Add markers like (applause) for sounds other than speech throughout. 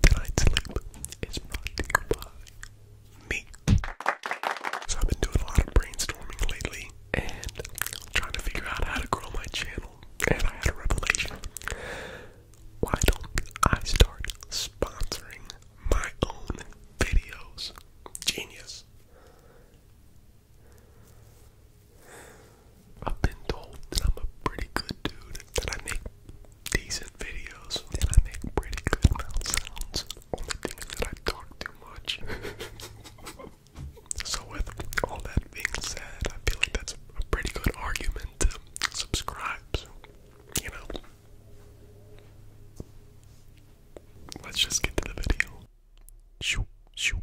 Tonight's sleep is brought to you by me. So I've been doing a lot of brainstorming lately and trying to figure out how to grow my channel. And I had a revelation. Why don't I start sponsoring my own videos? Genius. I've been told that I'm a pretty good dude, that I make decent videos and I make pretty good mouth sounds. Only thing is that I talk too much. (laughs) so with all that being said, I feel like that's a pretty good argument to subscribe. So, you know. Let's just get to the video. Shoo, shoo.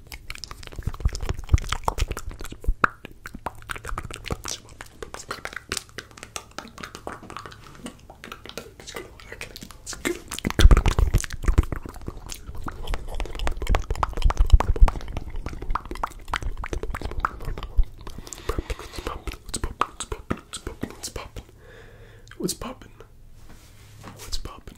What's poppin'? What's poppin'? What's poppin'?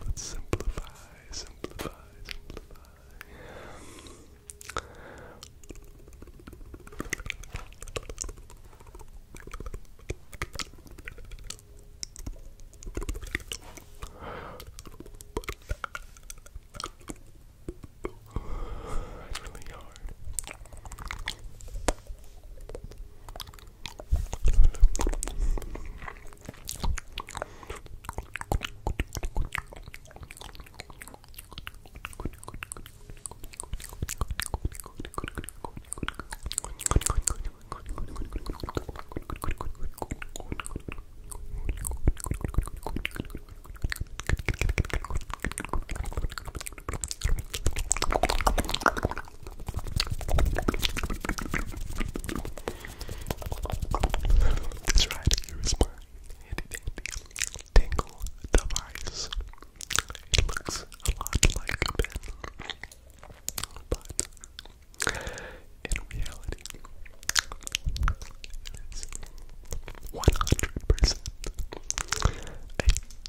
Let's simplify, simplify, simplify. That's really hard. That's right, here's my handy dandy tingle device. It looks a lot like a pen, but in reality, it is 100% a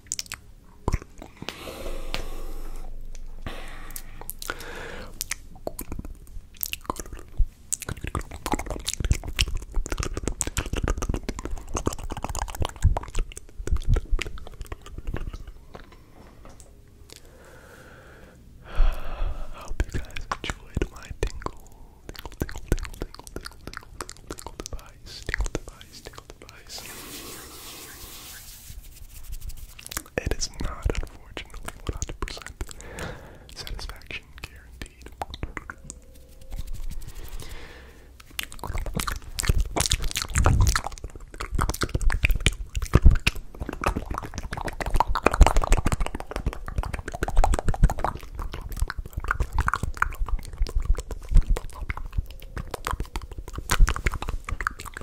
I hope you guys enjoyed my tingle, tingle, tingle, tingle, tingle, tingle, tingle, tingle, tingle device, tingle device, tingle device. It is not, unfortunately, 100% satisfaction guaranteed.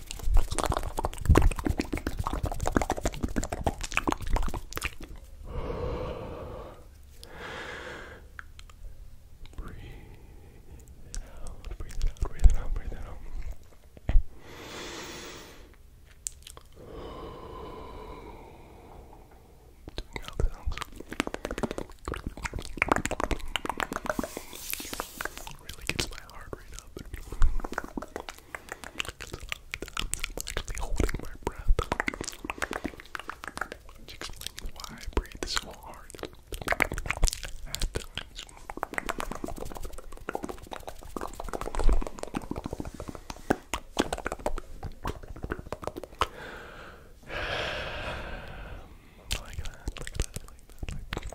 Breathe it out, breathe it out, breathe it out, breathe it out. Doing out sounds. Really gets my heart rate up. I'm actually holding my breath. Which explains why I breathe so hard at times. like that, like that, like that, like that.